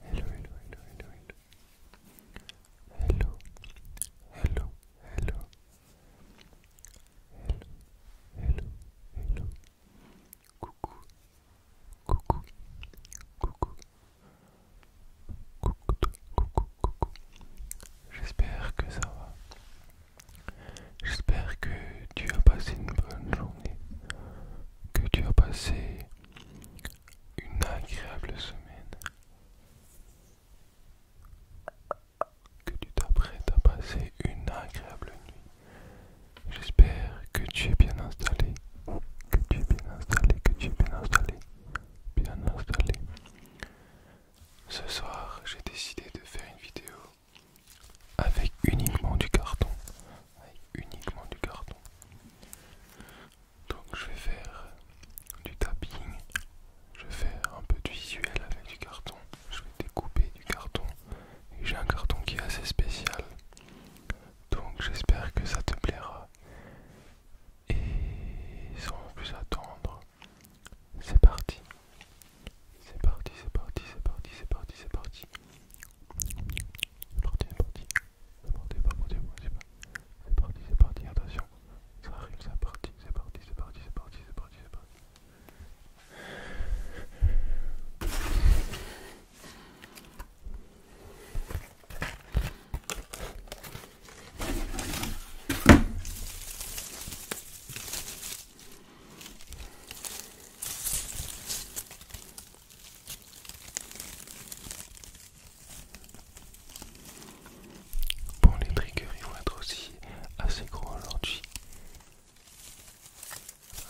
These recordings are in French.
Hello, hello, hello, hello, hello. Hello, hello, hello. Hello, hello, hello. Coucou, coucou, coucou. Coucou, coucou, coucou. J'espère que ça va. J'espère que tu as passé une bonne journée. Que tu as passé une agréable semaine que tu t'apprêtes à passer une agréable nuit. J'espère que tu es bien installé, que tu es bien installé, que tu es bien installé, bien installé. Ce soir, j'ai décidé de faire une vidéo avec uniquement du carton avec uniquement du carton. Donc je vais faire du tapping, je vais faire un peu de visuel avec du carton, je vais découper du carton. Et j'ai un carton qui est assez spécial. Donc j'espère que ça te plaira. Et sans plus attendre, c'est parti. C'est parti, c'est parti, c'est parti, c'est parti, c'est parti c'est parti, c'est parti. Ne ça pas, C'est parti, c'est parti, attention. Ça arrive, c'est parti, c'est parti, c'est parti, c'est parti, c'est parti, c'est parti. Bon, les triggers vont être aussi assez gros aujourd'hui.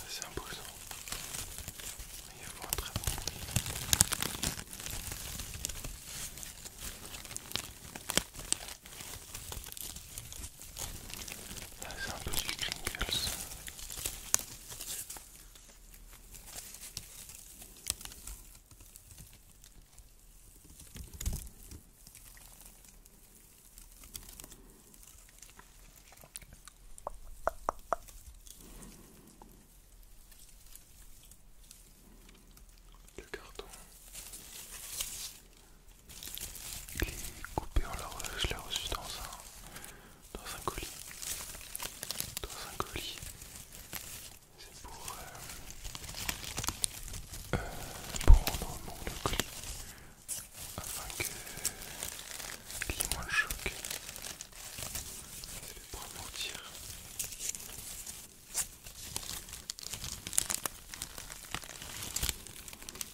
C'est imposant. Il y a un très bon ça, ah, c'est un peu du Kringles. Le carton. Il est coupé, on je l'ai reçu dans un, dans un colis. Dans un colis. C'est pour, euh, euh, pour rendre mon colis afin qu'il y ait moins de choc.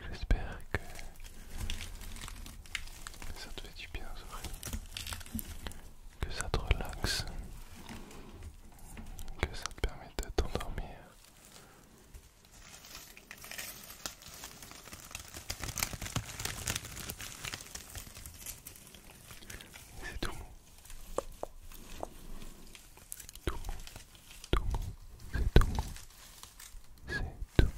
J'espère que ça te fait du bien, Zoé que ça te relaxe, que ça te permet de t'endormir. C'est tout mou. Tout mou, tout mou, c'est tout mou. C'est tout mou. C'est tout mou.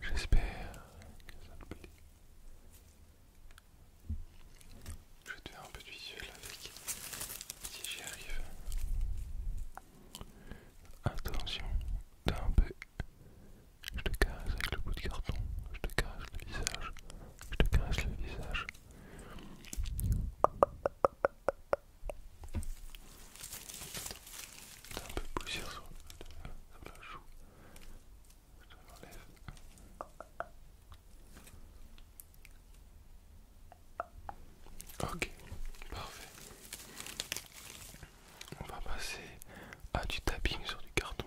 J'espère que ça te plaît. Je vais te faire un peu de visuel avec si j'y arrive. Attention, t'as un peu. Je te casse avec le bout de carton, je te caresse le visage, je te caresse le visage un peu de poussière sur, la joue. Je l'enlève. Ok, parfait. On va passer à du tapping sur du carton.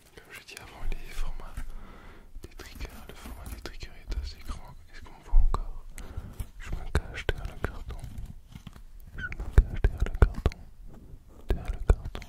comme je dis avant, les formats des triggers, le format des triggers est assez grand. Est-ce qu'on voit encore Je me cache derrière le carton. Je me cache derrière le carton. Derrière le carton.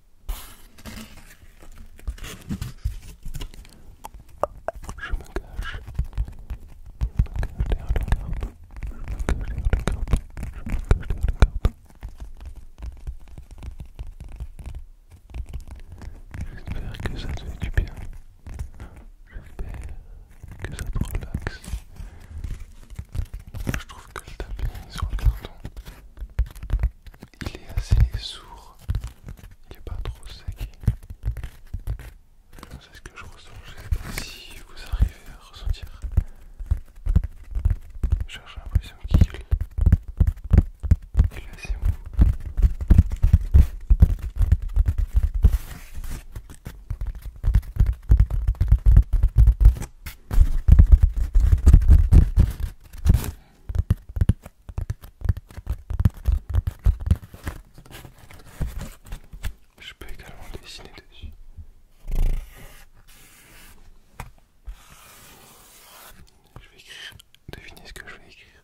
Je me cache. Je me cache derrière le corps, Je me cache derrière le corps, Je me cache derrière le corps. J'espère que ça te fait du bien. J'espère que ça te relaxe. Je trouve que le tapis est sur le carton, il est assez sourd, il n'est pas trop sec. C'est ce que je ressens, je sais pas si vous arrivez à ressentir. J'ai l'impression qu'il il est assez mou. Je peux également dessiner dessus. Je vais écrire. Devinez ce que je vais écrire.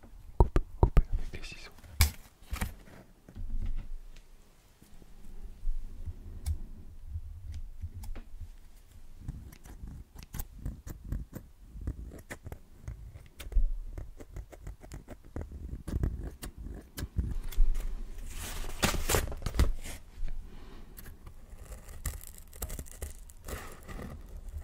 couper, couper avec les ciseaux.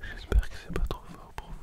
J'espère que c'est pas trop fort pour vous.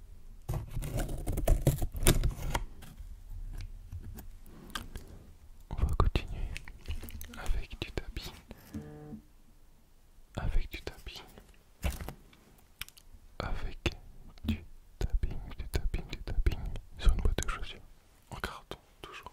On va continuer avec du tapis. Avec du tapis. Avec du tapping, du tapping, du tapping sur une boîte de chaussures en carton toujours.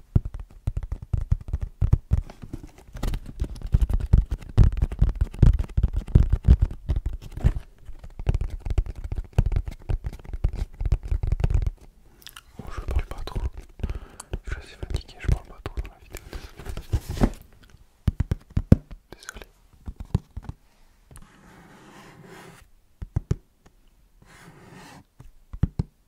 Oh, je parle pas trop. Je suis assez fatigué, je parle pas trop dans la vidéo. Désolé.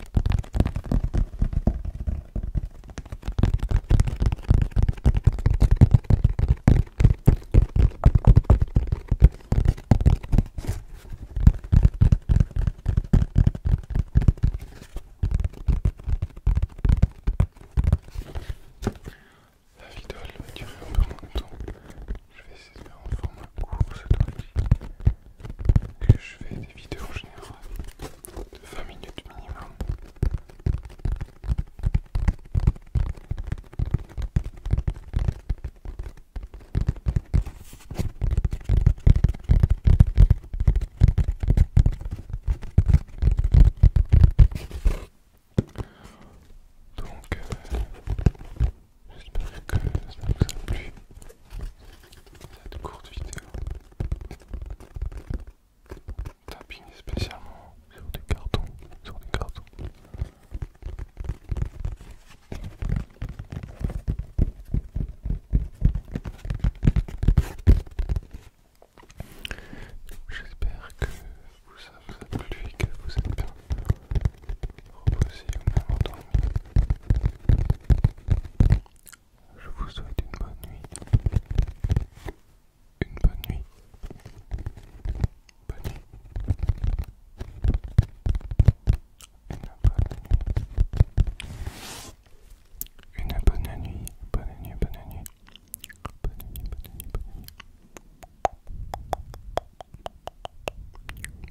La vidéo elle va durer un peu moins de Je vais essayer de faire en format court cette fois-ci que je fais des vidéos en général de 20 minutes minimum. Donc, euh, J'espère que ça vous a plu cette courte vidéo. Tapping spécialement sur des cartons, sur des cartons. J'espère que vous a plu et que vous êtes bien reposer Je vous souhaite une bonne nuit. Une bonne nuit. Bonne nuit. Une bonne nuit. Une bonne nuit, bonne nuit, bonne nuit. Bonne nuit, bonne nuit, bonne nuit.